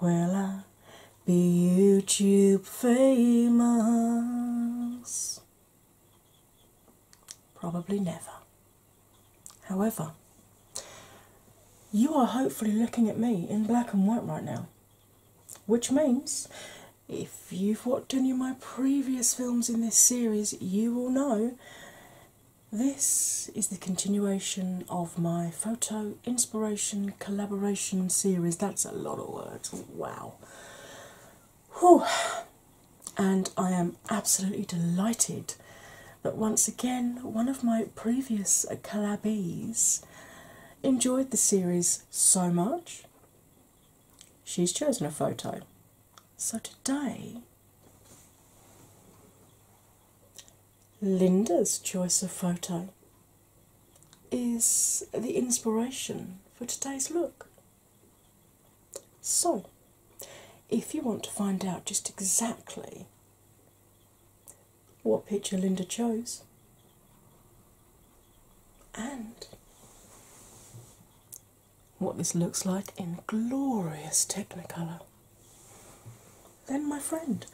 will I be YouTube famous? Probably never. However, you are hopefully looking at me in black and white right now, which means if you've watched any of my previous films in this series, you will know this is the continuation of my photo inspiration collaboration series. That's a lot of words, wow. Whew. And I am absolutely delighted that once again one of my previous collabees enjoyed the series so much she's chosen a photo. So today Linda's choice of photo is the inspiration for today's look. So, if you want to find out just exactly what picture Linda chose and what this looks like in glorious Technicolor then my friend,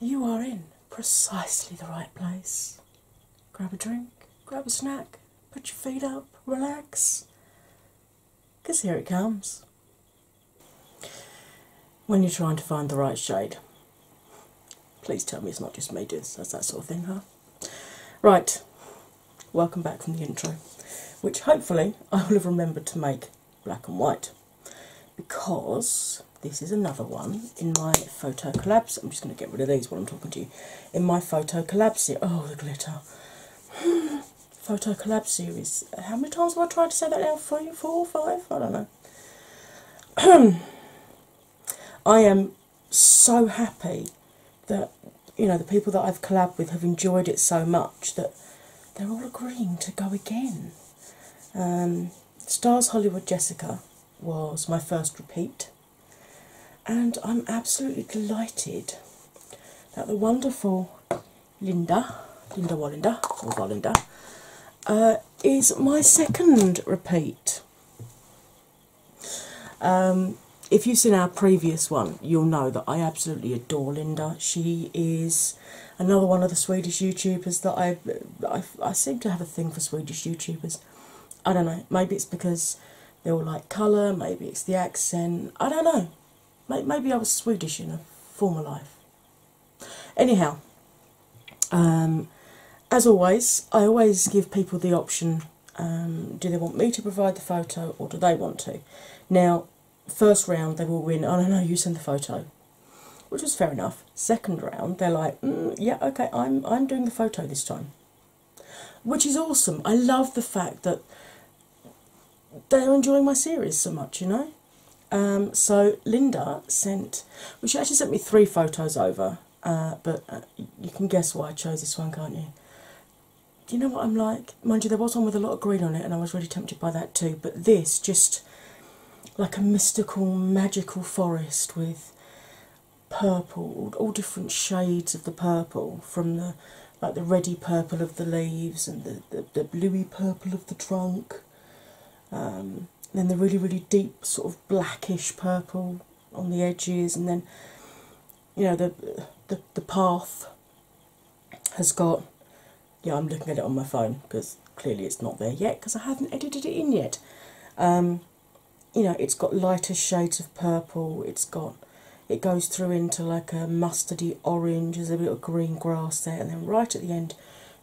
you are in precisely the right place. Grab a drink, grab a snack, put your feet up, relax. 'Cause here it comes. When you're trying to find the right shade, please tell me it's not just me doing this. that's that sort of thing, huh? Right, welcome back from the intro, which hopefully I will have remembered to make black and white because this is another one in my photo collabs. I'm just going to get rid of these while I'm talking to you. In my photo collab series, oh, the glitter. photo collab series. How many times have I tried to say that now? Four or five? I don't know. I am so happy that you know the people that I've collabed with have enjoyed it so much that they're all agreeing to go again. Um, Stars Hollywood Jessica was my first repeat, and I'm absolutely delighted that the wonderful Linda, Linda Wallinder, or Wallinder, uh, is my second repeat. Um, if you've seen our previous one, you'll know that I absolutely adore Linda. She is another one of the Swedish YouTubers that I, I, seem to have a thing for Swedish YouTubers. I don't know. Maybe it's because they all like colour. Maybe it's the accent. I don't know. Maybe I was Swedish in a former life. Anyhow, um, as always, I always give people the option: um, do they want me to provide the photo, or do they want to? Now, first round they will win, oh no, no, you send the photo. Which was fair enough. Second round, they're like, mm, yeah, okay, I'm I'm doing the photo this time, which is awesome. I love the fact that they're enjoying my series so much, you know. Um, so Linda sent, well, she actually sent me three photos over, uh, but uh, you can guess why I chose this one, can't you? Do you know what I'm like? Mind you, there was one with a lot of green on it, and I was really tempted by that too. But this just like a mystical, magical forest with purple, all different shades of the purple, from the like the reddy purple of the leaves and the, the, bluey purple of the trunk. Um, then the really, really deep sort of blackish purple on the edges, and then you know the the, the path has got yeah i'm looking at it on my phone because clearly it's not there yet because i haven't edited it in yet um, you know it's got lighter shades of purple it's got it goes through into like a mustardy orange there's a little green grass there and then right at the end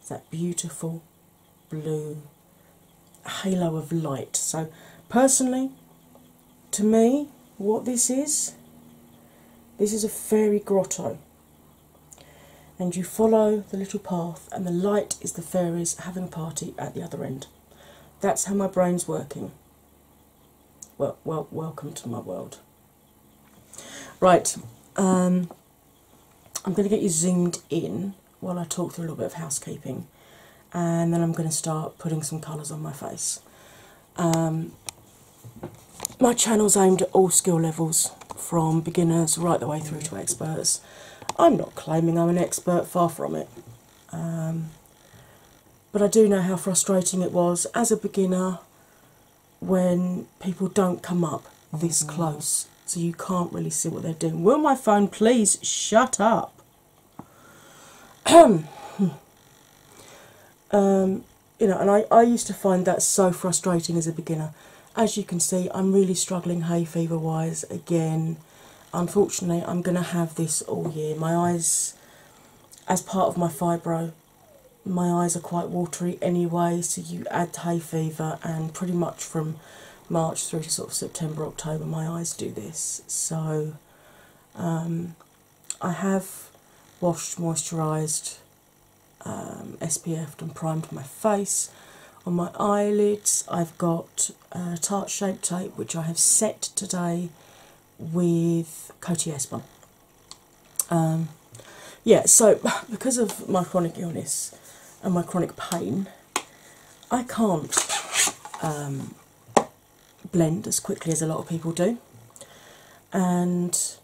that beautiful blue halo of light so personally to me what this is this is a fairy grotto and you follow the little path, and the light is the fairies having a party at the other end. That's how my brain's working. Well, well, welcome to my world. Right, um, I'm going to get you zoomed in while I talk through a little bit of housekeeping, and then I'm going to start putting some colours on my face. Um, my channel is aimed at all skill levels, from beginners right the way through to experts. I'm not claiming I'm an expert, far from it. Um, but I do know how frustrating it was as a beginner when people don't come up this mm-hmm. close, so you can't really see what they're doing. Will my phone please shut up? Hmm. Um, you know, and I, I used to find that so frustrating as a beginner. As you can see, I'm really struggling hay fever wise again. Unfortunately, I'm going to have this all year. My eyes, as part of my fibro, my eyes are quite watery anyway, so you add hay fever, and pretty much from March through to sort of September, October, my eyes do this. So um, I have washed, moisturised, um, SPF'd and primed my face. On my eyelids, I've got uh, Tarte Shape Tape, which I have set today with Coty Espan. Um, yeah, so because of my chronic illness and my chronic pain, I can't um, blend as quickly as a lot of people do, and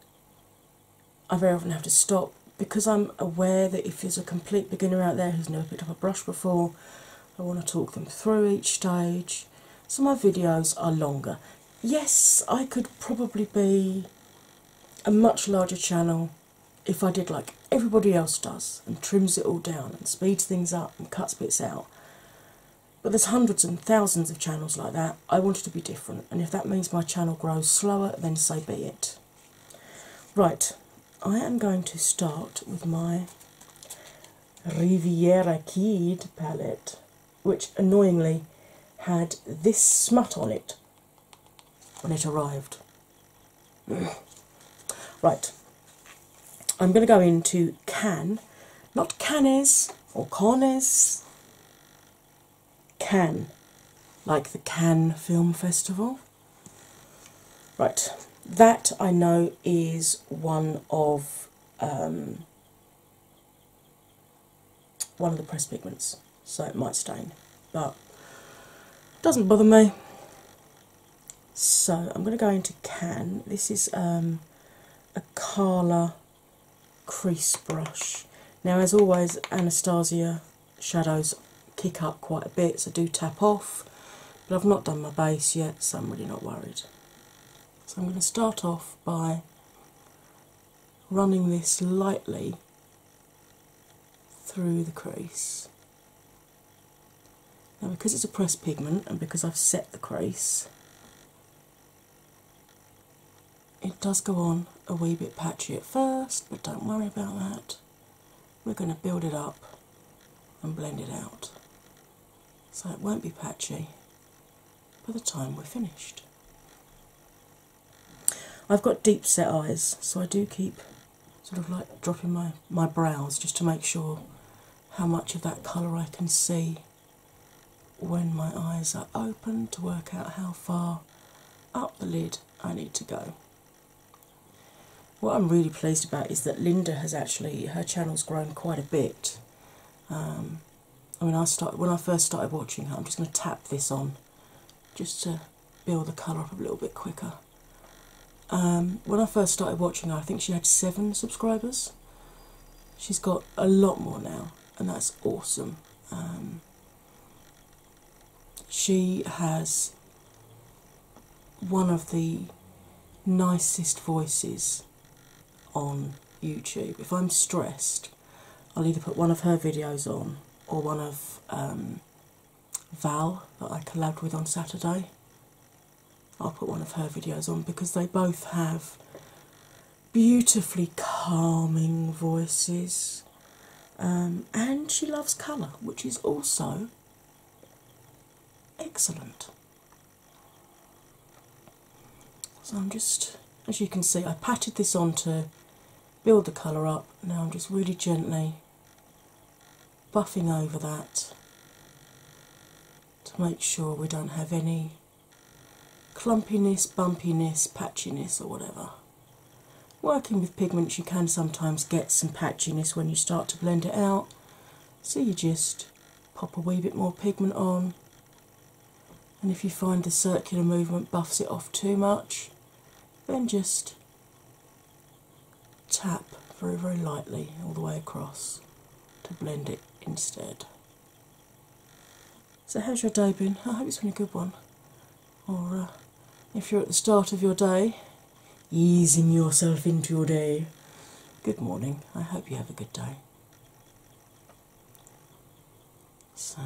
I very often have to stop because I'm aware that if there's a complete beginner out there who's never picked up a brush before, I want to talk them through each stage. So my videos are longer. Yes, I could probably be a much larger channel if I did like everybody else does and trims it all down and speeds things up and cuts bits out. But there's hundreds and thousands of channels like that I want it to be different, and if that means my channel grows slower, then so be it. Right, I am going to start with my Riviera Kid palette, which annoyingly had this smut on it when it arrived. right, I'm going to go into Can, not Canes or Cornes. Cannes, like the Can Film Festival. Right, that I know is one of um, one of the press pigments, so it might stain, but doesn't bother me. So I'm going to go into Can. This is um, a Carla crease brush. Now, as always, Anastasia shadows kick up quite a bit, so do tap off. But I've not done my base yet, so I'm really not worried. So I'm going to start off by running this lightly through the crease. Now, because it's a pressed pigment and because I've set the crease, it does go on a wee bit patchy at first, but don't worry about that. We're going to build it up and blend it out so it won't be patchy by the time we're finished. I've got deep set eyes, so I do keep sort of like dropping my, my brows just to make sure how much of that colour I can see when my eyes are open to work out how far up the lid I need to go. What I'm really pleased about is that Linda has actually her channel's grown quite a bit. Um, I mean, I start when I first started watching her. I'm just going to tap this on, just to build the colour up a little bit quicker. Um, when I first started watching her, I think she had seven subscribers. She's got a lot more now, and that's awesome. Um, she has one of the nicest voices on YouTube. If I'm stressed, I'll either put one of her videos on or one of um, Val that I collabed with on Saturday. I'll put one of her videos on because they both have beautifully calming voices, um, and she loves colour, which is also excellent. So I'm just, as you can see, I patted this on to build the colour up. Now I'm just really gently buffing over that to make sure we don't have any clumpiness, bumpiness, patchiness, or whatever. Working with pigments, you can sometimes get some patchiness when you start to blend it out, so you just pop a wee bit more pigment on, and if you find the circular movement buffs it off too much, then just tap very, very lightly all the way across to blend it instead. So, how's your day been? I hope it's been a good one. Or, uh, if you're at the start of your day, easing yourself into your day, good morning. I hope you have a good day. So,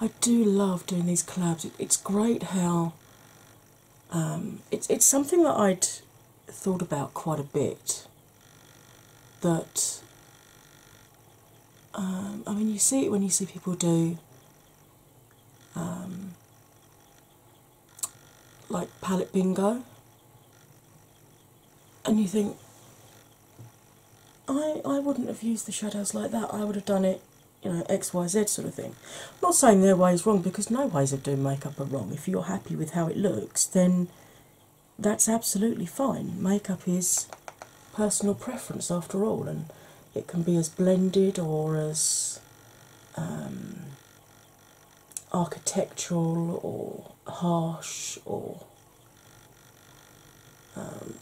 I do love doing these clubs. it's great how um, it's it's something that I'd thought about quite a bit that um, I mean you see it when you see people do um, like palette bingo and you think I I wouldn't have used the shadows like that I would have done it you know XYZ sort of thing. not saying their way is wrong because no ways of doing makeup are wrong. If you're happy with how it looks then that's absolutely fine. Makeup is personal preference after all, and it can be as blended or as um, architectural or harsh or um,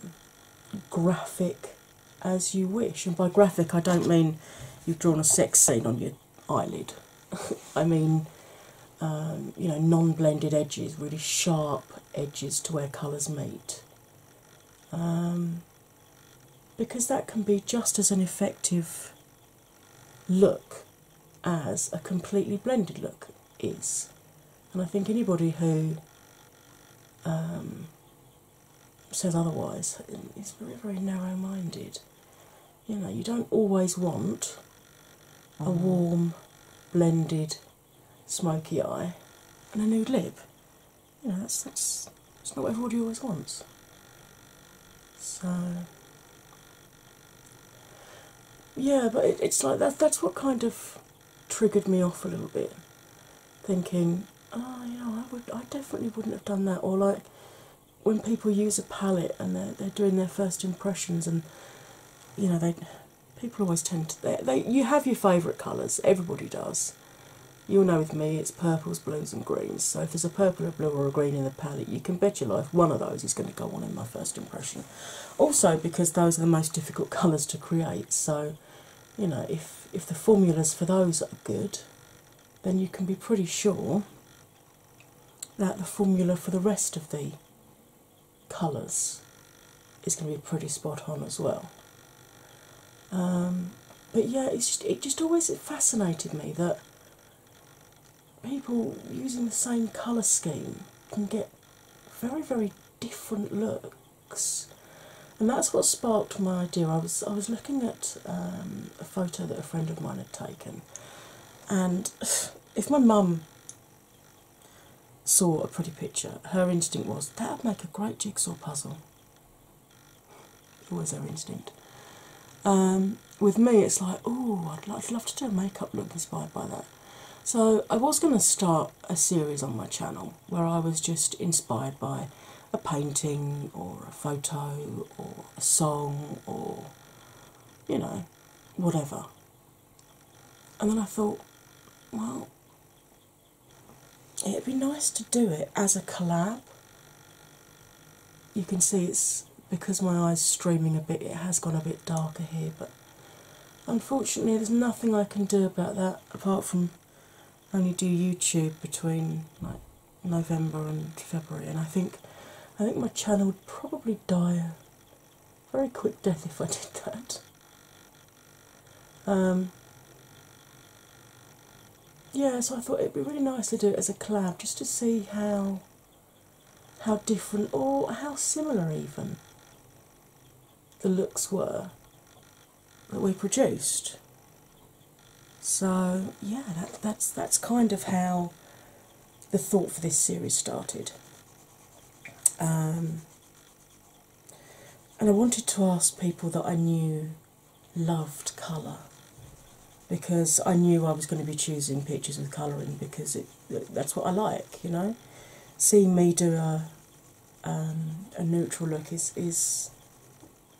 graphic as you wish. And by graphic, I don't mean you've drawn a sex scene on your eyelid, I mean, um, you know, non blended edges, really sharp edges to where colours meet. Um, because that can be just as an effective look as a completely blended look is. And I think anybody who um, says otherwise is very, very narrow minded. You know, you don't always want a mm-hmm. warm, blended smoky eye, and a nude lip. You know, that's, that's, not what everybody always wants. So, yeah, but it's like that, that's what kind of triggered me off a little bit. Thinking, oh, you know, I, would, I definitely wouldn't have done that. Or, like, when people use a palette and they're, they're doing their first impressions and, you know, they people always tend to they, they you have your favourite colours, everybody does. You'll know with me it's purples, blues and greens. So if there's a purple, or blue or a green in the palette, you can bet your life one of those is going to go on in my first impression. Also because those are the most difficult colours to create, so you know, if if the formulas for those are good, then you can be pretty sure that the formula for the rest of the colours is going to be pretty spot on as well. Um, but yeah, it's just, it just always it fascinated me that people using the same colour scheme can get very, very different looks. And that's what sparked my idea. I was I was looking at um, a photo that a friend of mine had taken, and if my mum saw a pretty picture, her instinct was that would make a great jigsaw puzzle. Always her instinct. Um, with me, it's like, oh, I'd love to do a makeup look inspired by that. So, I was going to start a series on my channel where I was just inspired by a painting or a photo or a song or you know, whatever. And then I thought, well, it'd be nice to do it as a collab. You can see it's because my eyes streaming a bit, it has gone a bit darker here, but unfortunately, there's nothing I can do about that apart from only do YouTube between like November and February, and I think I think my channel would probably die very quick death if I did that. Um, yeah, so I thought it'd be really nice to do it as a collab just to see how how different or how similar even the looks were that we produced. So yeah, that's that's kind of how the thought for this series started. Um, and I wanted to ask people that I knew loved colour because I knew I was going to be choosing pictures with colouring because that's what I like, you know. Seeing me do a um, a neutral look is is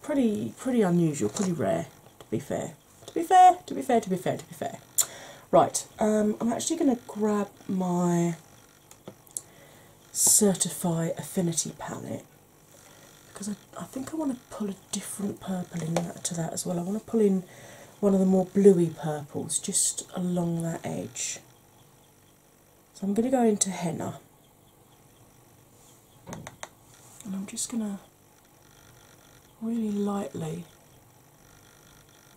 pretty pretty unusual, pretty rare. To be fair, to be fair, to be fair, to be fair, to be fair. Right, um, I'm actually going to grab my Certify Affinity palette because I, think I want to pull a different purple into that, as well. I want to pull in one of the more bluey purples just along that edge. So I'm going to go into henna and I'm just going to really lightly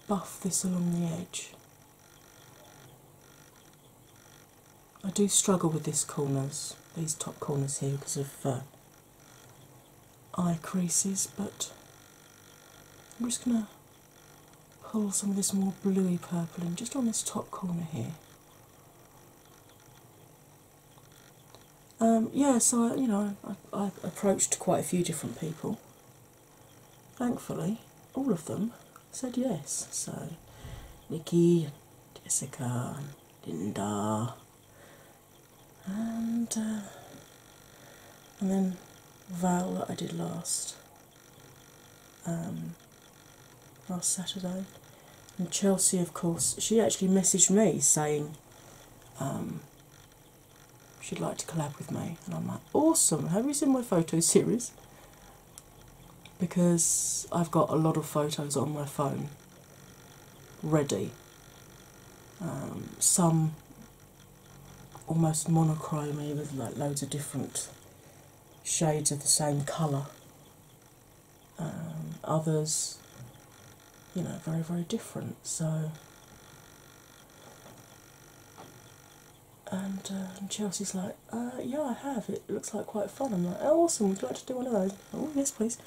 buff this along the edge. I do struggle with these corners, these top corners here, because of uh, eye creases, but I'm just going to pull some of this more bluey purple in just on this top corner here. Um, yeah, so uh, you know, I, I approached quite a few different people thankfully, all of them said yes. So, Nikki, Jessica, Dinda, uh, and then Val that I did last um, last Saturday, and Chelsea, of course, she actually messaged me saying. Um, she'd like to collab with me. And I'm like, awesome, have you seen my photo series? Because I've got a lot of photos on my phone ready. Um, some almost monochromy with like loads of different shades of the same colour. Um, others, you know, very, very different. So uh, and Chelsea's like, uh, yeah, I have. It looks like quite fun. I'm like, oh, awesome. Would you like to do one of those? Oh, yes, please.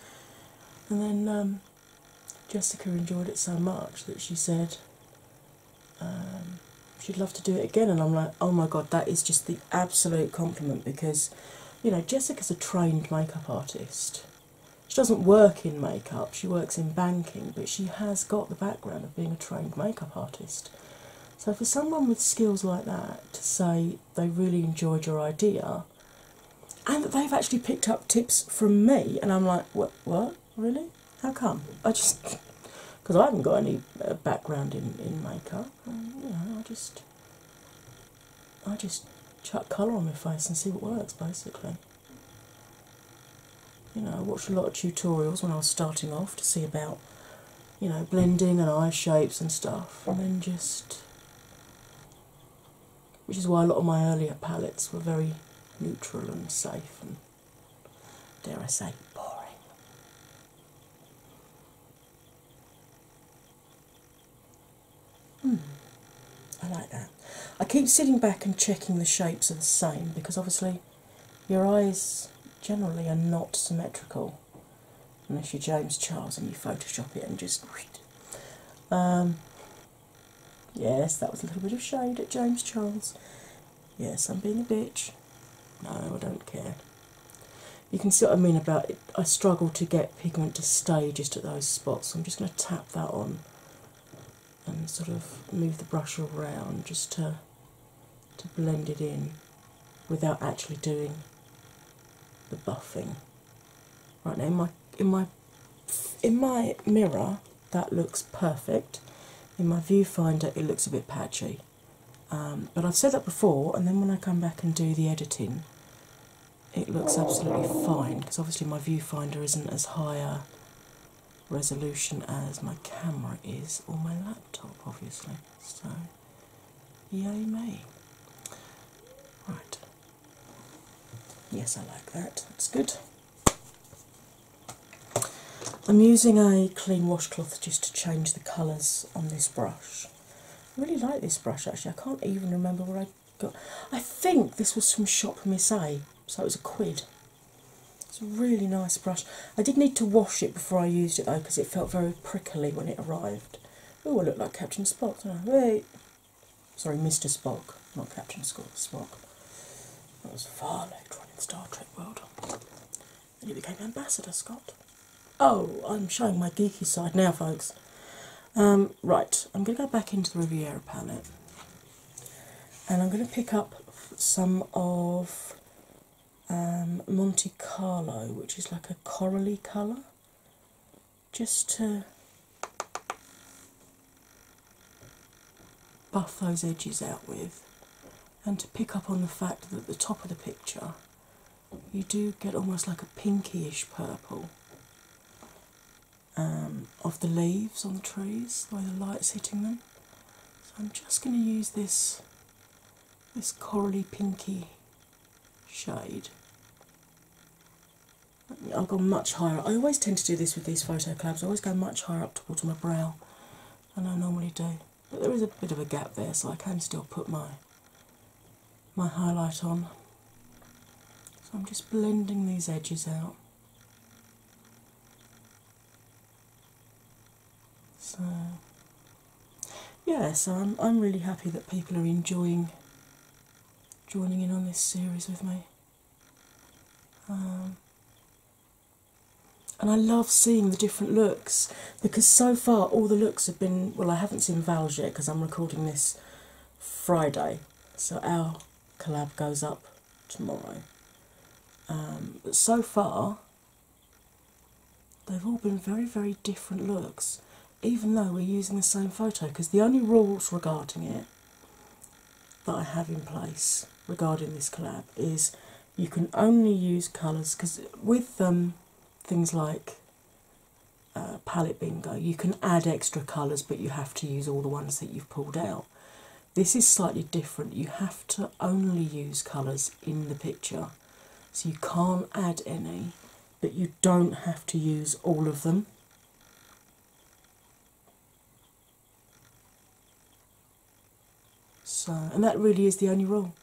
And then um, Jessica enjoyed it so much that she said um, she'd love to do it again. And I'm like, oh my god, that is just the absolute compliment because, you know, Jessica's a trained makeup artist. She doesn't work in makeup. She works in banking, but she has got the background of being a trained makeup artist. So, for someone with skills like that to say they really enjoyed your idea and that they've actually picked up tips from me, and I'm like, what, what, really? How come? I just, because I haven't got any uh, background in, in makeup, you know, I just, I just chuck colour on my face and see what works basically. You know, I watched a lot of tutorials when I was starting off to see about, you know, blending and eye shapes and stuff, and then just. Which is why a lot of my earlier palettes were very neutral and safe and, dare I say, boring. Hmm, I like that. I keep sitting back and checking the shapes are the same because obviously your eyes generally are not symmetrical unless you're James Charles and you Photoshop it and just. Um, yes, that was a little bit of shade at James Charles. Yes, I'm being a bitch. No, I don't care. You can see what I mean about it. I struggle to get pigment to stay just at those spots. I'm just going to tap that on and sort of move the brush around just to to blend it in without actually doing the buffing. Right now in my in my in my mirror that looks perfect. In my viewfinder it looks a bit patchy. Um, but I've said that before and then when I come back and do the editing it looks absolutely fine because obviously my viewfinder isn't as high resolution as my camera is or my laptop, obviously. So, yay me. Right. Yes, I like that. That's good. I'm using a clean washcloth just to change the colours on this brush. I really like this brush actually. I can't even remember where I got I think this was from Shop Miss A, so it was a quid. It's a really nice brush. I did need to wash it before I used it though because it felt very prickly when it arrived. Oh, I look like Captain Spock, Wait. Sorry, Mr. Spock, not Captain Spock. That was far later on Star Trek World. You became Ambassador Scott. Oh, I'm showing my geeky side now, folks. Um, right, I'm going to go back into the Riviera palette and I'm going to pick up some of um, Monte Carlo, which is like a corally colour, just to buff those edges out with, and to pick up on the fact that at the top of the picture you do get almost like a pinkish purple. Um, of the leaves on the trees, the way the light's hitting them. So I'm just going to use this this corally pinky shade. I'll go much higher. I always tend to do this with these photo collabs. I always go much higher up towards my brow than I normally do. But there is a bit of a gap there, so I can still put my my highlight on. So I'm just blending these edges out. So yeah, so I'm I'm really happy that people are enjoying joining in on this series with me. Um, and I love seeing the different looks because so far all the looks have been well I haven't seen Val's yet because I'm recording this Friday so our collab goes up tomorrow. Um, but so far, they've all been very, very different looks, even though we're using the same photo, because the only rules regarding it that I have in place regarding this collab is you can only use colours because with um, things like uh, palette bingo, you can add extra colours, but you have to use all the ones that you've pulled out. This is slightly different. You have to only use colours in the picture, so you can't add any, but you don't have to use all of them. So, and that really is the only rule.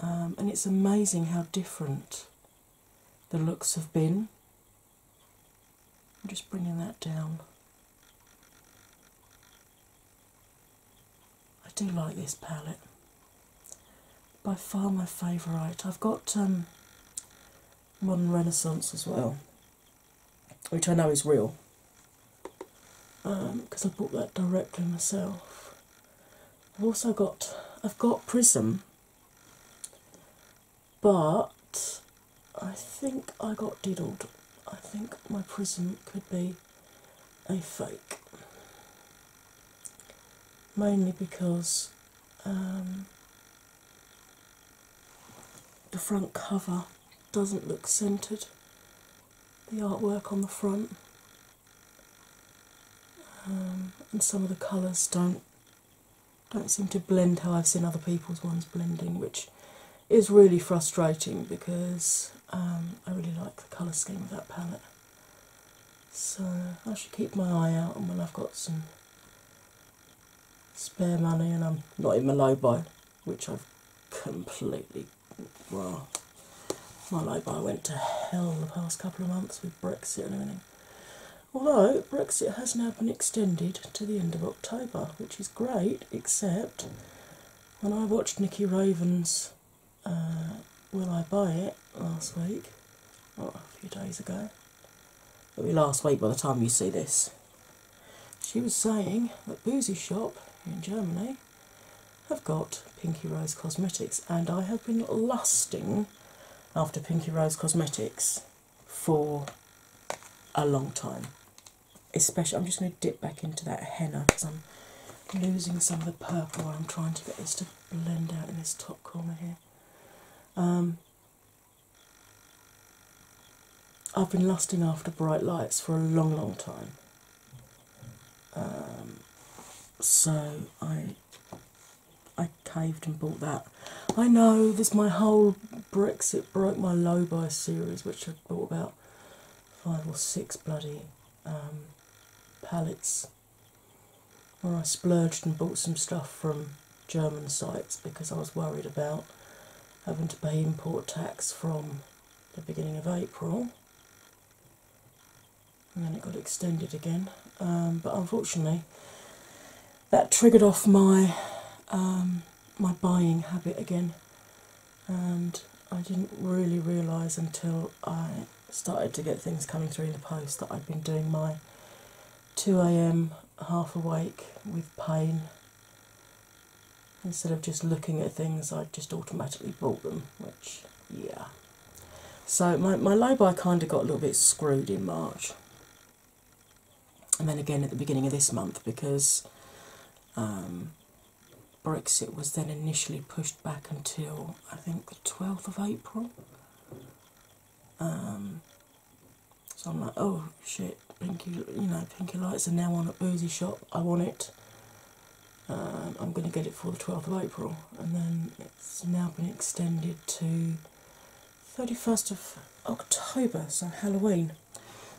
Um, and it's amazing how different the looks have been I'm just bringing that down. I do like this palette. By far my favourite. I've got um, Modern Renaissance as well, which I know is real because um, I bought that directly myself. I've also got I've got Prism, but I think I got diddled. I think my prism could be a fake, mainly because um, the front cover doesn't look centered, the artwork on the front. Um, and some of the colours don't don't seem to blend how I've seen other people's ones blending, which is really frustrating because um, I really like the colour scheme of that palette. So I should keep my eye out, and when I've got some spare money and I'm not in my low buy, which I've completely well, my low buy went to hell the past couple of months with Brexit and everything. Although Brexit has now been extended to the end of October, which is great, except when I watched Nikki Raven's uh, Will I Buy It last week, a few days ago, maybe last week by the time you see this, she was saying that Boozy Shop in Germany have got Pinky Rose Cosmetics, and I have been lusting after Pinky Rose Cosmetics for a long time. Especially, I'm just going to dip back into that henna because I'm losing some of the purple. I'm trying to get this to blend out in this top corner here. Um, I've been lasting after bright lights for a long, long time. Um, so I I caved and bought that. I know there's my whole Brexit broke my low buy series, which I bought about five or six bloody um, pallets, where I splurged and bought some stuff from German sites because I was worried about having to pay import tax from the beginning of April. And then it got extended again, um, but unfortunately, that triggered off my um, my buying habit again, and I didn't really realise until I started to get things coming through the post that I'd been doing my 2 a.m. half awake with pain. Instead of just looking at things, I just automatically bought them, which, yeah. So my, my low buy kind of got a little bit screwed in March and then again at the beginning of this month because um, Brexit was then initially pushed back until I think the 12th of April. Um, so I'm like, oh shit, Pinky, you know, Pinky Lights are now on a Boozy Shop. I want it. Um, I'm going to get it for the 12th of April, and then it's now been extended to 31st of October, so Halloween.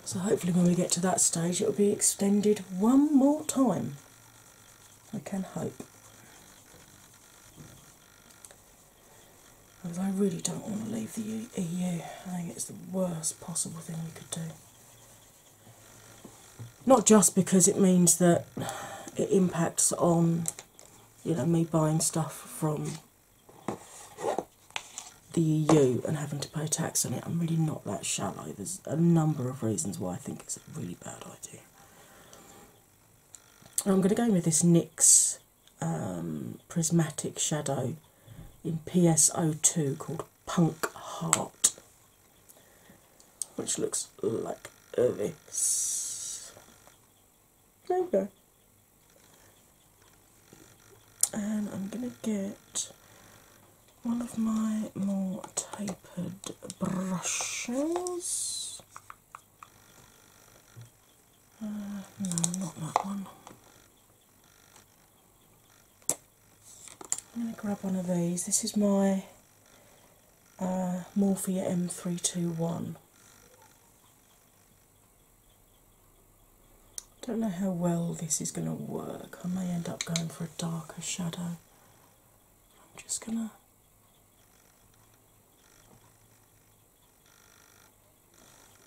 So hopefully, when we get to that stage, it'll be extended one more time. I can hope. I really don't want to leave the EU. I think it's the worst possible thing we could do. Not just because it means that it impacts on you know me buying stuff from the EU and having to pay tax on it. I'm really not that shallow. There's a number of reasons why I think it's a really bad idea. I'm going to go in with this Nix um, Prismatic Shadow in PSO2 called Punk Heart, which looks like this. There you go and I'm going to get one of my more tapered brushes. Uh, no, not that one. I'm going to grab one of these. This is my uh, M321. Don't know how well this is going to work. I may end up going for a darker shadow. I'm just going to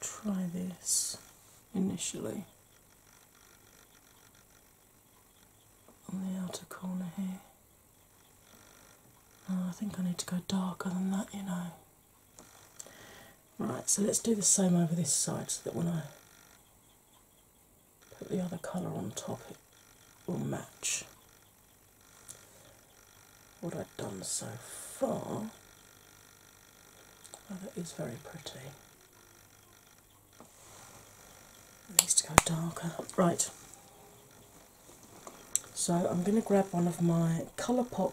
try this initially on the outer corner here. Oh, I think I need to go darker than that, you know. Right, so let's do the same over this side so that when I put the other colour on top, it will match what I've done so far. Oh, that is very pretty. needs to go darker. Right, so I'm going to grab one of my Colourpop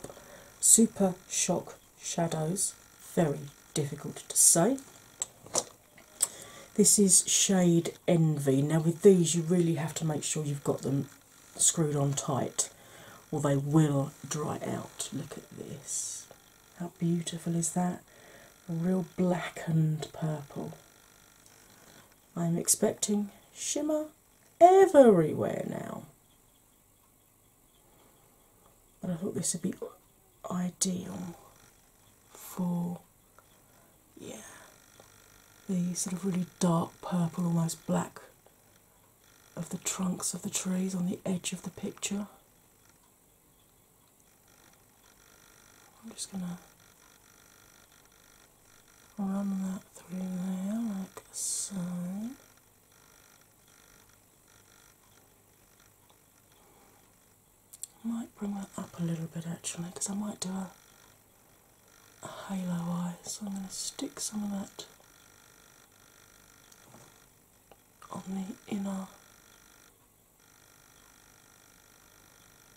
Super Shock Shadows. Very difficult to say. This is shade Envy. Now, with these, you really have to make sure you've got them screwed on tight or they will dry out. Look at this. How beautiful is that? A real blackened purple. I'm expecting shimmer everywhere now. But I thought this would be ideal for yeah the sort of really dark purple, almost black of the trunks of the trees on the edge of the picture. I'm just gonna run that through there like so. I might bring that up a little bit actually because I might do a, a halo eye, so I'm going to stick some of that on the inner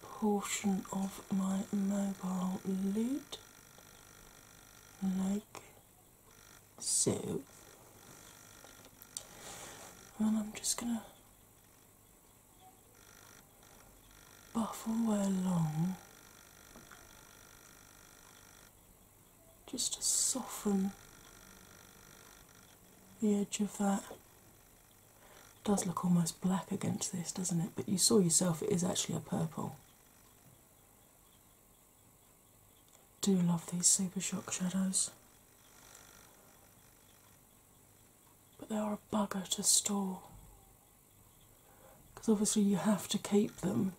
portion of my mobile lid like so. And I'm just going to buff all the way along just to soften the edge of that. It does look almost black against this, doesn't it? But you saw yourself, it is actually a purple do love these super shock shadows. But they are a bugger to store because obviously you have to keep them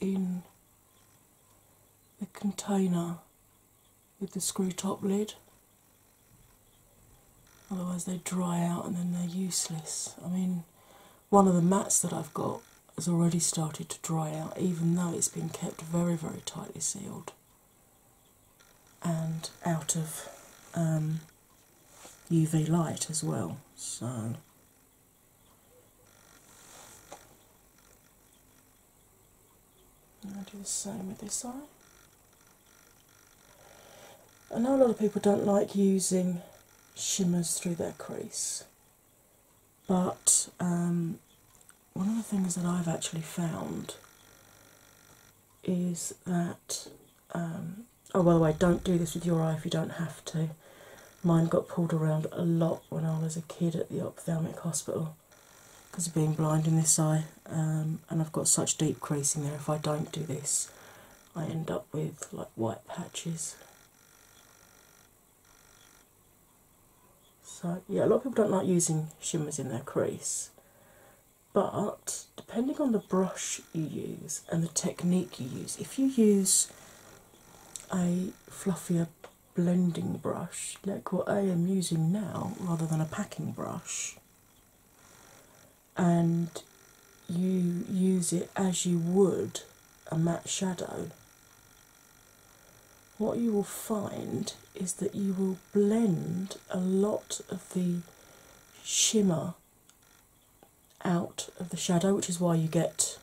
in the container with the screw top lid, otherwise they dry out and then they're useless. I mean, one of the mats that I've got has already started to dry out, even though it's been kept very, very tightly sealed and out of UV um, light as well. So. And I do the same with this eye. I know a lot of people don't like using shimmers through their crease. But um, one of the things that I've actually found is that. Um, oh, by the way, don't do this with your eye if you don't have to. Mine got pulled around a lot when I was a kid at the ophthalmic hospital because of being blind in this eye, um, and I've got such deep creasing there. If I don't do this, I end up with like white patches. So, yeah, a lot of people don't like using shimmers in their crease, but depending on the brush you use and the technique you use, if you use a fluffier blending brush like what I am using now rather than a packing brush, and you use it as you would a matte shadow, what you will find is that you will blend a lot of the shimmer out of the shadow, which is why you get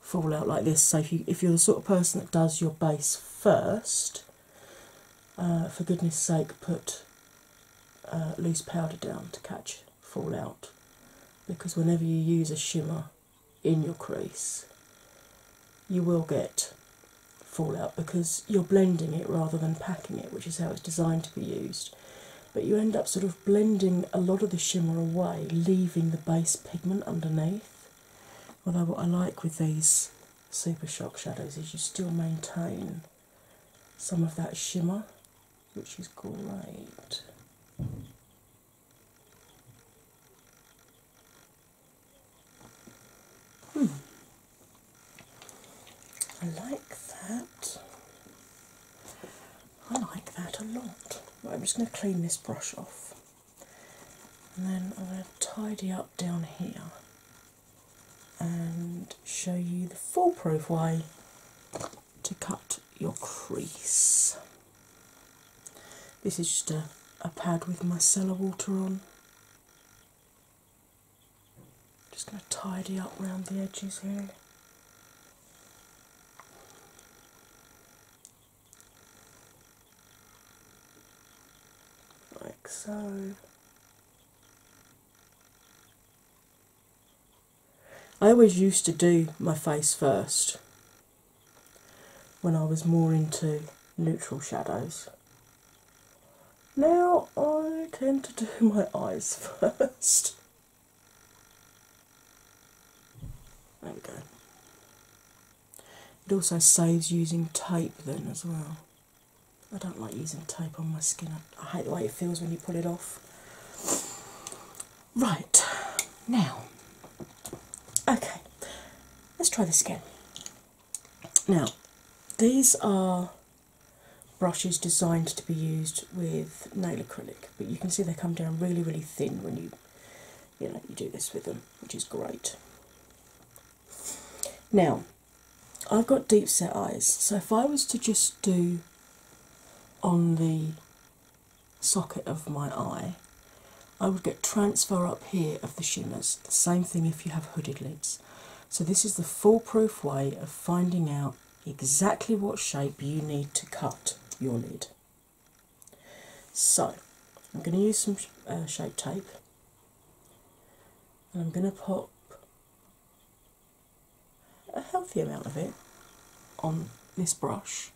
fallout like this. So, if, you, if you're the sort of person that does your base first, uh, for goodness sake, put uh, loose powder down to catch Fallout, because whenever you use a shimmer in your crease, you will get fallout because you're blending it rather than packing it, which is how it's designed to be used. But you end up sort of blending a lot of the shimmer away, leaving the base pigment underneath. Although, what I like with these Super Shock shadows is you still maintain some of that shimmer which is great. Hmm. I like that. I like that a lot. I'm just going to clean this brush off and then I'm going to tidy up down here and show you the foolproof way to cut your crease. This is just a, a pad with micellar water on. Just going to tidy up round the edges here. Like so. I always used to do my face first when I was more into neutral shadows. Now I tend to do my eyes first. There we go. It also saves using tape then as well. I don't like using tape on my skin, I hate the way it feels when you pull it off. Right, now, okay, let's try this again. Now, these are brushes designed to be used with nail acrylic, but you can see they come down really, really thin when you, you know, you do this with them, which is great. Now, I've got deep set eyes, so if I was to just do on the socket of my eye, I would get transfer up here of the shimmers. The same thing if you have hooded lids. So, this is the foolproof way of finding out exactly what shape you need to cut your lid. So, I'm going to use some uh, shape tape and I'm going to pop a healthy amount of it on this brush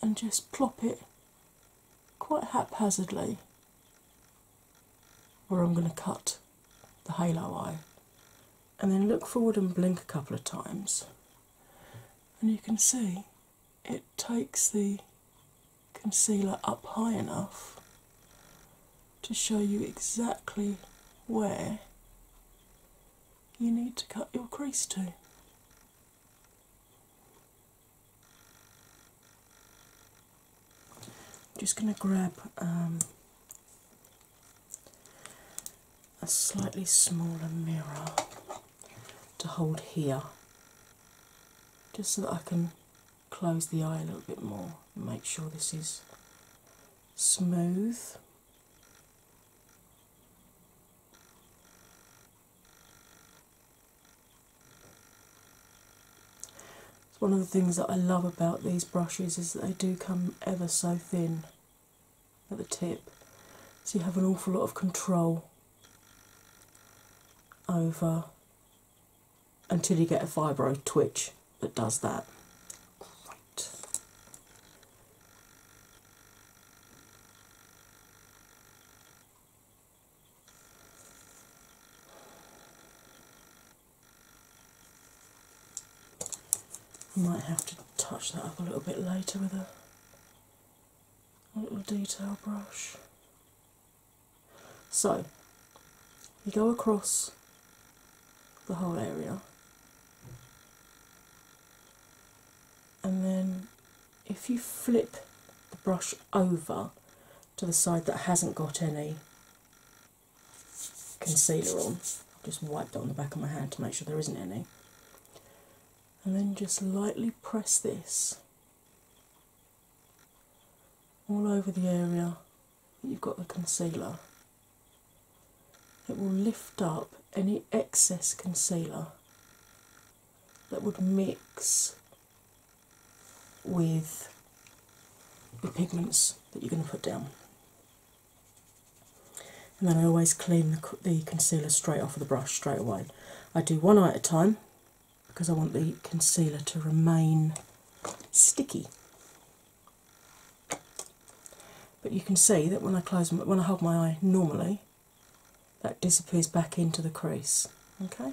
and just plop it quite haphazardly where I'm going to cut the halo eye. And then look forward and blink a couple of times, and you can see it takes the concealer up high enough to show you exactly where you need to cut your crease to. I'm just going to grab um, a slightly smaller mirror to hold here, just so that I can close the eye a little bit more and make sure this is smooth. It's one of the things that I love about these brushes is that they do come ever so thin at the tip, so you have an awful lot of control over until you get a fibro twitch. It does that. Great. Might have to touch that up a little bit later with a little detail brush. So you go across the whole area. And then if you flip the brush over to the side that hasn't got any concealer on, just wipe it on the back of my hand to make sure there isn't any, and then just lightly press this all over the area you've got the concealer. It will lift up any excess concealer that would mix with the pigments that you're going to put down. And then I always clean the, concealer straight off of the brush straight away. I do one at a time because I want the concealer to remain sticky. But you can see that when I close, when I hold my eye normally, that disappears back into the crease. Okay.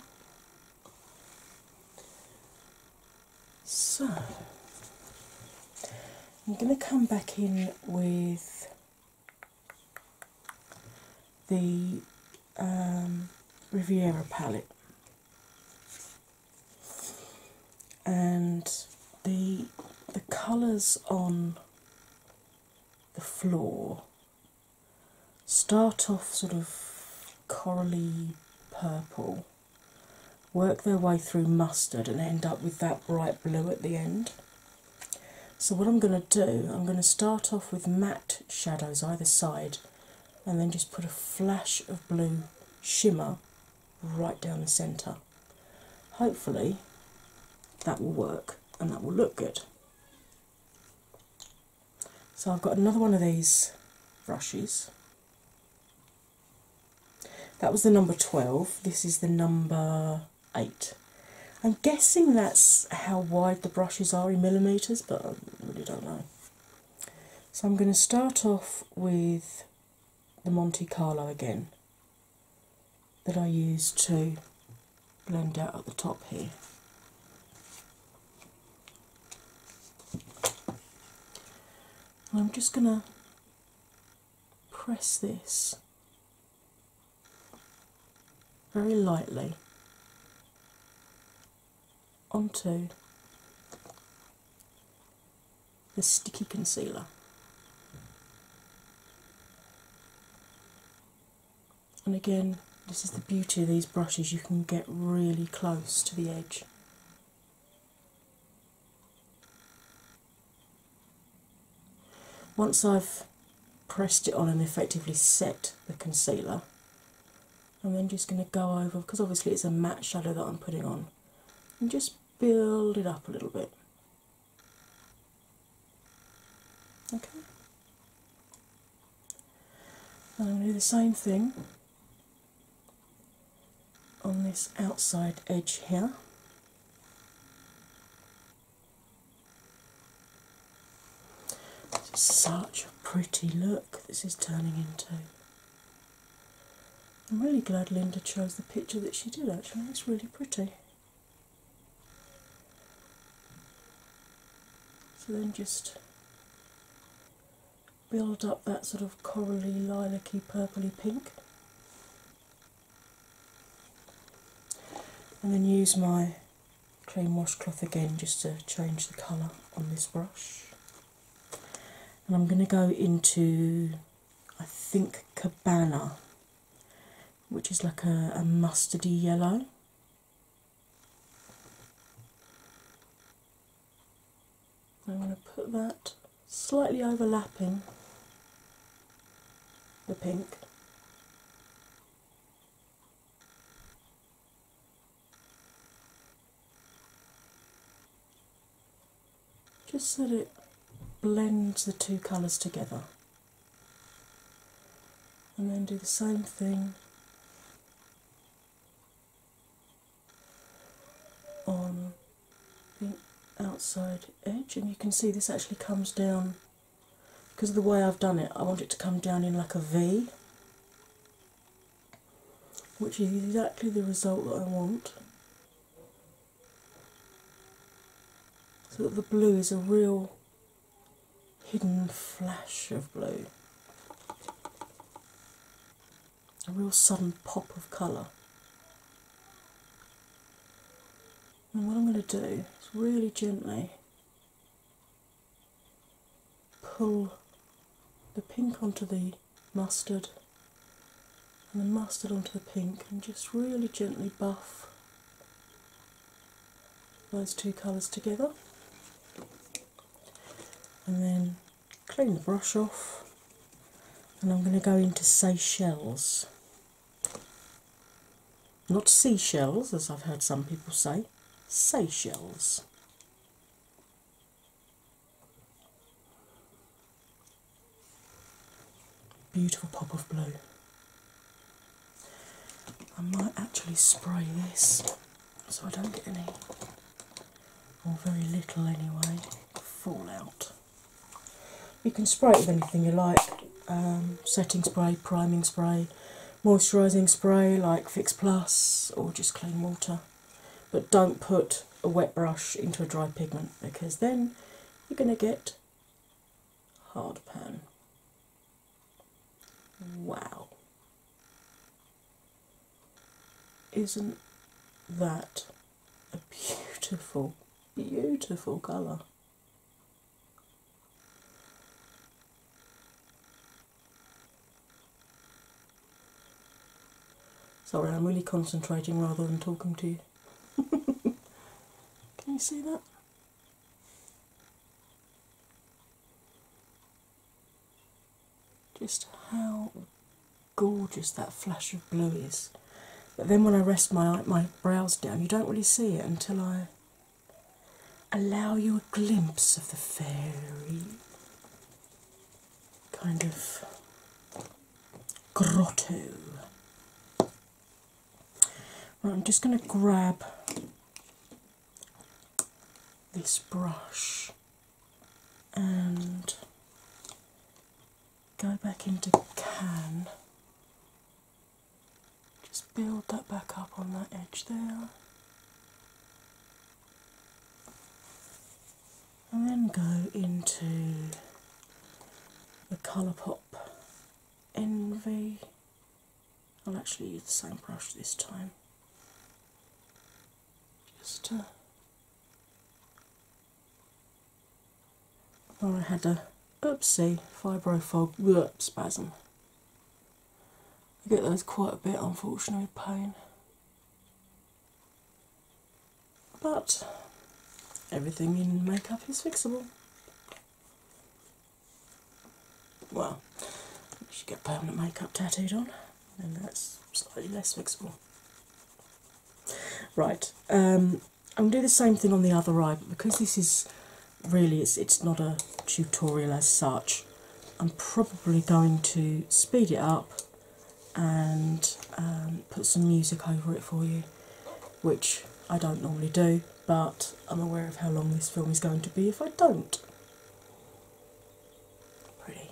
So I'm going to come back in with the um, Riviera palette and the the colours on the floor start off sort of corally purple, work their way through mustard, and end up with that bright blue at the end. So, what I'm going to do, I'm going to start off with matte shadows either side and then just put a flash of blue shimmer right down the centre. Hopefully, that will work and that will look good. So, I've got another one of these brushes. That was the number 12, this is the number 8. I'm guessing that's how wide the brushes are in millimetres, but I really don't know. So I'm going to start off with the Monte Carlo again that I used to blend out at the top here. I'm just going to press this very lightly onto the sticky concealer. And again, this is the beauty of these brushes, you can get really close to the edge. Once I've pressed it on and effectively set the concealer, I'm then just going to go over, because obviously it's a matte shadow that I'm putting on, and just build it up a little bit. Okay. I'm going to do the same thing on this outside edge here. This such a pretty look this is turning into. I'm really glad Linda chose the picture that she did actually, it's really pretty. So then just build up that sort of corally, lilac-y, purpley pink. And then use my clean washcloth again just to change the colour on this brush. And I'm going to go into I think Cabana, which is like a, mustardy yellow. I'm going to put that slightly overlapping the pink just so that it blends the two colours together. And then do the same thing on the outside edge. And you can see this actually comes down because of the way I've done it, I want it to come down in like a V, which is exactly the result that I want so that the blue is a real hidden flash of blue, a real sudden pop of colour. And what I'm going to do is really gently pull the pink onto the mustard and then mustard onto the pink, and just really gently buff those two colours together. And then clean the brush off, and I'm going to go into Seychelles. Not seashells, as I've heard some people say, Seychelles. Beautiful pop of blue. I might actually spray this so I don't get any, or very little anyway, fallout. You can spray it with anything you like um, setting spray, priming spray, moisturising spray like Fix Plus, or just clean water. But don't put a wet brush into a dry pigment because then you're going to get hard pan. Wow. Isn't that a beautiful, beautiful colour? Sorry, I'm really concentrating rather than talking to you. Can you see that? Just how gorgeous that flash of blue is. But then when I rest my my brows down, you don't really see it until I allow you a glimpse of the fairy kind of Grotto. Right, I'm just going to grab this brush and go back into can. Just build that back up on that edge there and then go into the Colourpop Envy. I'll actually use the same brush this time just to. Uh, well, I had a oopsie fibrofog oops spasm. I get those quite a bit, unfortunately, pain. But everything in makeup is fixable. Well, you should get permanent makeup tattooed on, and that's slightly less fixable. Right, um, I'm going to do the same thing on the other eye, but because this is really it's, it's not a tutorial as such, I'm probably going to speed it up and um, put some music over it for you, which I don't normally do, but I'm aware of how long this film is going to be if I don't. Pretty.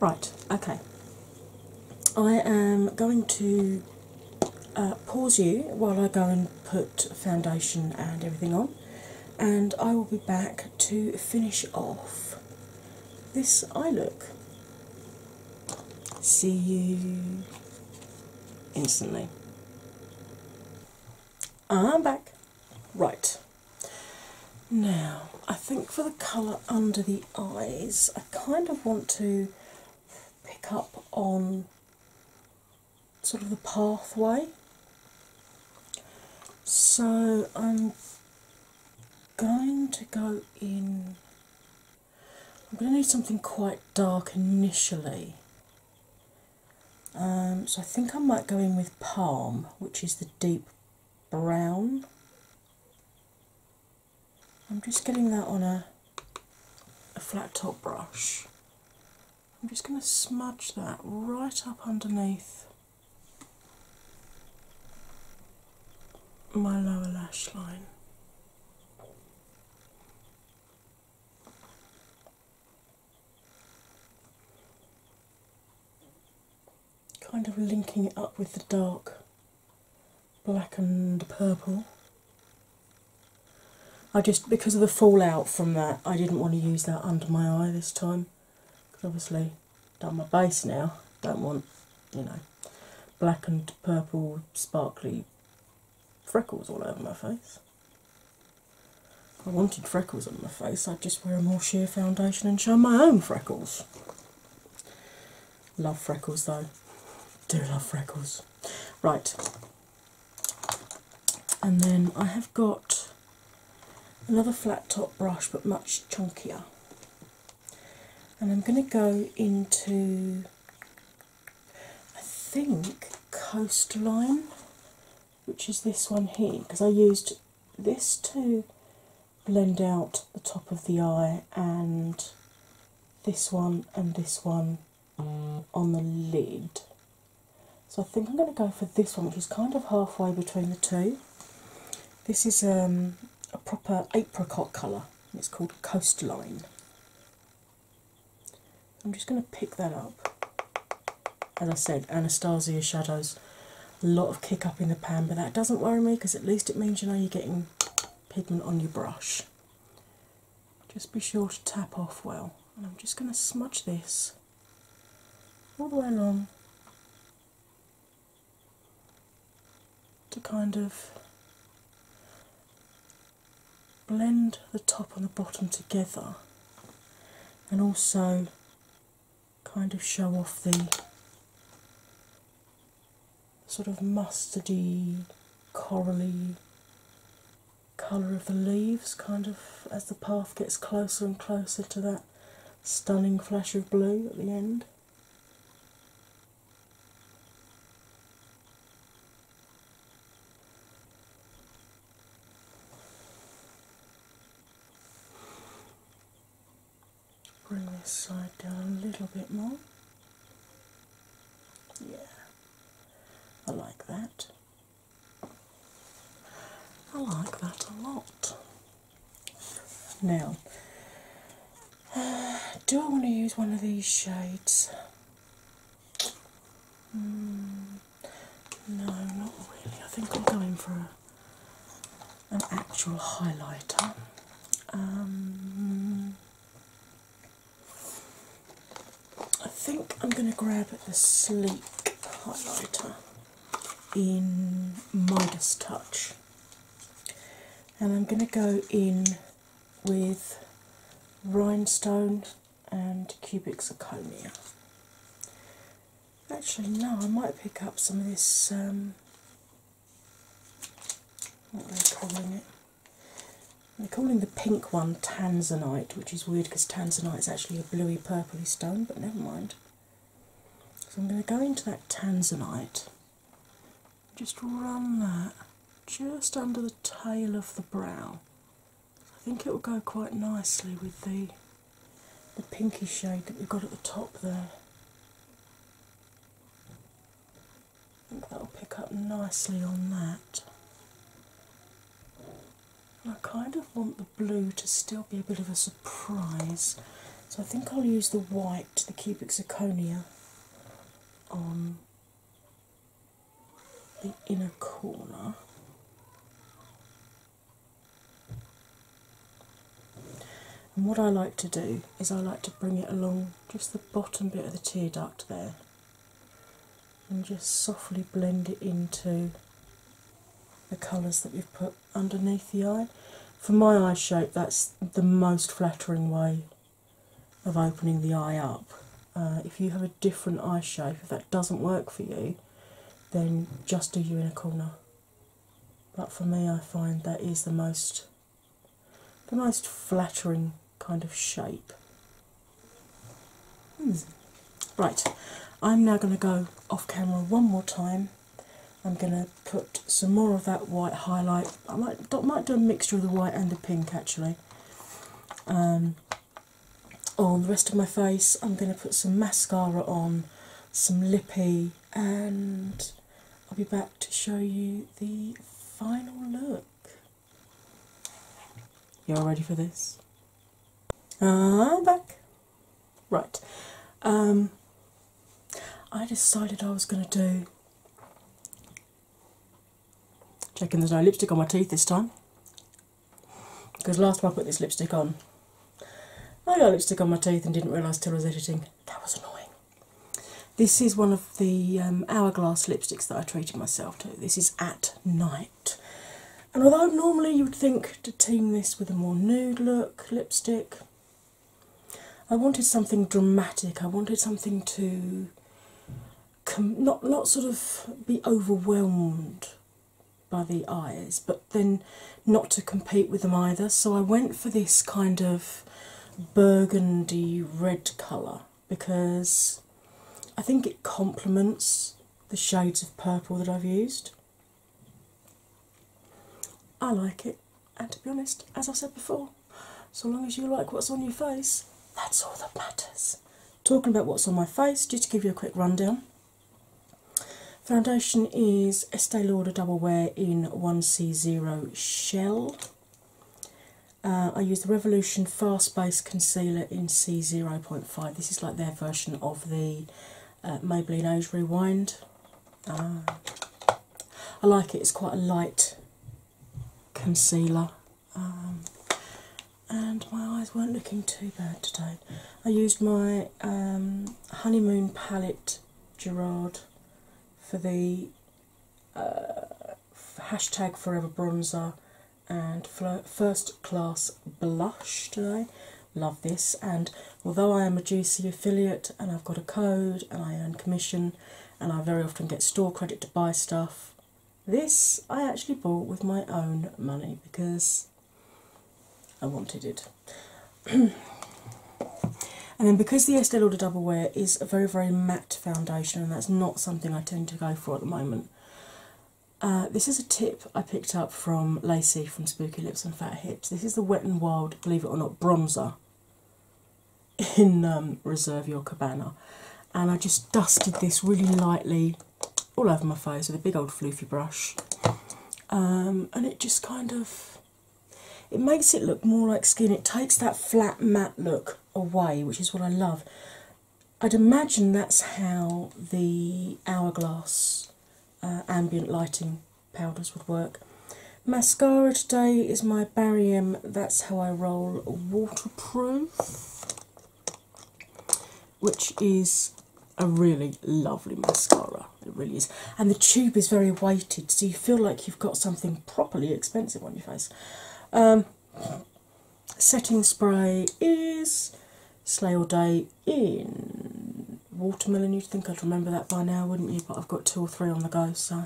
Right, okay. I am going to uh, pause you while I go and put foundation and everything on, and I will be back to finish off this eye look. See you instantly. I'm back. Right. Now, I think for the colour under the eyes, I kind of want to pick up on sort of the pathway. So I'm going to go in. I'm going to need something quite dark initially. Um, so I think I might go in with Palm, which is the deep brown. I'm just getting that on a, a flat top brush. I'm just going to smudge that right up underneath my lower lash line. Kind of linking it up with the dark black and purple. I just, because of the fallout from that, I didn't want to use that under my eye this time because obviously done my base now. Don't want you know black and purple sparkly freckles all over my face. I wanted freckles on my face, I'd just wear a more sheer foundation and show my own freckles. Love freckles though. Do love freckles. Right. And then I have got another flat top brush but much chunkier and I'm going to go into, I think, Coastline, which is this one here, because I used this to blend out the top of the eye, and this one, and this one on the lid. So I think I'm going to go for this one, which is kind of halfway between the two. This is um, a proper apricot colour, it's called Coastline. I'm just going to pick that up. As I said, Anastasia shadows, a lot of kick up in the pan, but that doesn't worry me because at least it means you know you're getting pigment on your brush. Just be sure to tap off well, and I'm just going to smudge this all the way around to kind of blend the top and the bottom together and also kind of show off the sort of mustardy, corally colour of the leaves kind of as the path gets closer and closer to that stunning flash of blue at the end. Bring this side down a little bit more. Yeah, I like that. I like that a lot. Now, do I want to use one of these shades? Hmm, no, not really. I think i am going for an actual highlighter. Um, I think I'm going to grab the sleek highlighter in Midas Touch and I'm going to go in with rhinestones and Cubic Zirconia. Actually, no, I might pick up some of this. Um, what are they calling it? They're calling the pink one tanzanite, which is weird because tanzanite is actually a bluey purply stone, but never mind. So I'm going to go into that tanzanite, just run that just under the tail of the brow. I think it will go quite nicely with the the pinky shade that we've got at the top there. I think that'll pick up nicely on that. And I kind of want the blue to still be a bit of a surprise. So I think I'll use the white, the cubic zirconia, on the inner corner. And what I like to do is I like to bring it along just the bottom bit of the tear duct there and just softly blend it into the colours that we've put underneath the eye. For my eye shape, that's the most flattering way of opening the eye up. Uh, if you have a different eye shape, if that doesn't work for you, then just do you in a corner. But for me, I find that is the most the most flattering kind of shape. Hmm. Right, I'm now going to go off camera one more time I'm going to put some more of that white highlight. I might, might do a mixture of the white and the pink actually. Um, on the rest of my face, I'm going to put some mascara on, some lippy, and I'll be back to show you the final look. You're ready for this? Ah, i back. Right. Um, I decided I was going to do. Checking there's no lipstick on my teeth this time. Because last time I put this lipstick on, I got lipstick on my teeth and didn't realise till I was editing. That was annoying. This is one of the um, hourglass lipsticks that I treated myself to. This is at night. And although normally you would think to team this with a more nude look lipstick, I wanted something dramatic. I wanted something to not sort of be overwhelmed by the eyes, but then not to compete with them either. So I went for this kind of burgundy red colour because I think it complements the shades of purple that I've used. I like it, and to be honest, as I said before, so long as you like what's on your face, that's all that matters. Talking about what's on my face, just to give you a quick rundown. Foundation is Estee Lauder Double Wear in 1C0 Shell. Uh, I use the Revolution Fast Base Concealer in C0.5. This is like their version of the uh, Maybelline Age Rewind. Ah. I like it, it's quite a light concealer. Um, and my eyes weren't looking too bad today. I used my um, Honeymoon palette Gerard for the uh, hashtag Forever Bronzer and First Class Blush today love this. And although I am a GC affiliate and I've got a code and I earn commission and I very often get store credit to buy stuff, this I actually bought with my own money because I wanted it. and then because the Estee Lauder Double Wear is a very, very matte foundation, and that's not something I tend to go for at the moment, uh, this is a tip I picked up from Lacey from Spooky Lips and Fat Hips. This is the Wet and Wild, believe it or not, bronzer in um, Reserve Your Cabana. And I just dusted this really lightly all over my face with a big old floofy brush. Um, and it just kind of it makes it look more like skin. It takes that flat matte look away, which is what I love. I'd imagine that's how the hourglass uh, ambient lighting powders would work. Mascara today is my Barium That's How I Roll Waterproof, which is a really lovely mascara. It really is. And the tube is very weighted, so you feel like you've got something properly expensive on your face. Um, setting spray is Slay All Day in watermelon. You'd think I'd remember that by now, wouldn't you? But I've got two or three on the go, so.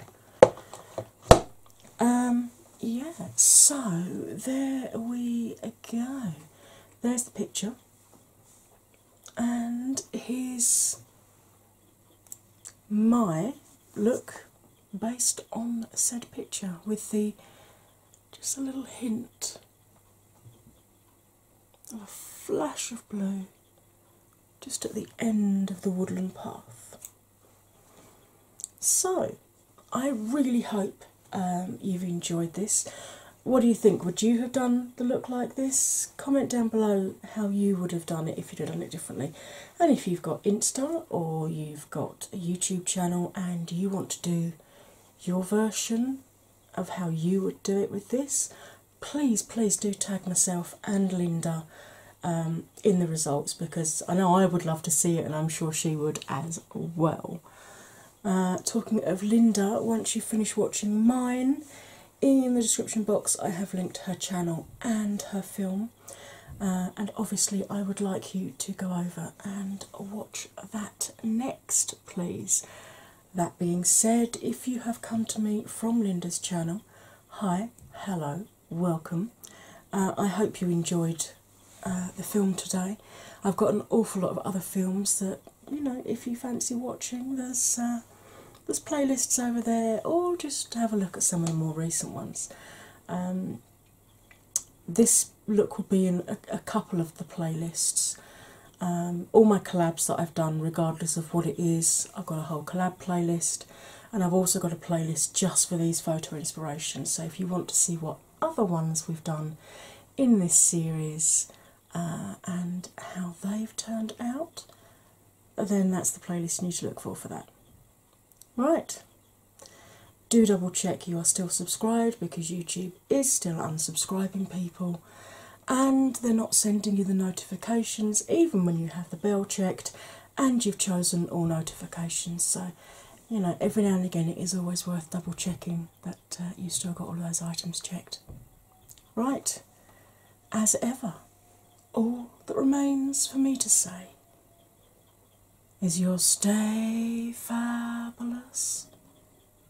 Um, yeah, so there we go. There's the picture, and here's my look based on said picture with the just a little hint a flash of blue just at the end of the woodland path. So, I really hope um, you've enjoyed this. What do you think? Would you have done the look like this? Comment down below how you would have done it if you'd have done it differently. And if you've got Insta or you've got a YouTube channel and you want to do your version of how you would do it with this, please, please do tag myself and Linda um, in the results because I know I would love to see it and I'm sure she would as well. Uh, talking of Linda, once you finish watching mine, in the description box I have linked her channel and her film. Uh, and obviously, I would like you to go over and watch that next, please. That being said, if you have come to me from Linda's channel, hi, hello, welcome. Uh, I hope you enjoyed uh, the film today. I've got an awful lot of other films that you know if you fancy watching. There's uh, there's playlists over there, or just have a look at some of the more recent ones. Um, this look will be in a couple of the playlists. Um, all my collabs that I've done, regardless of what it is, I've got a whole collab playlist, and I've also got a playlist just for these photo inspirations. So, if you want to see what other ones we've done in this series uh, and how they've turned out, then that's the playlist you need to look for for that. Right, do double check you are still subscribed because YouTube is still unsubscribing people and they're not sending you the notifications even when you have the bell checked and you've chosen all notifications. So, you know, every now and again it is always worth double checking that uh, you still got all those items checked. Right, as ever, all that remains for me to say is your stay fabulous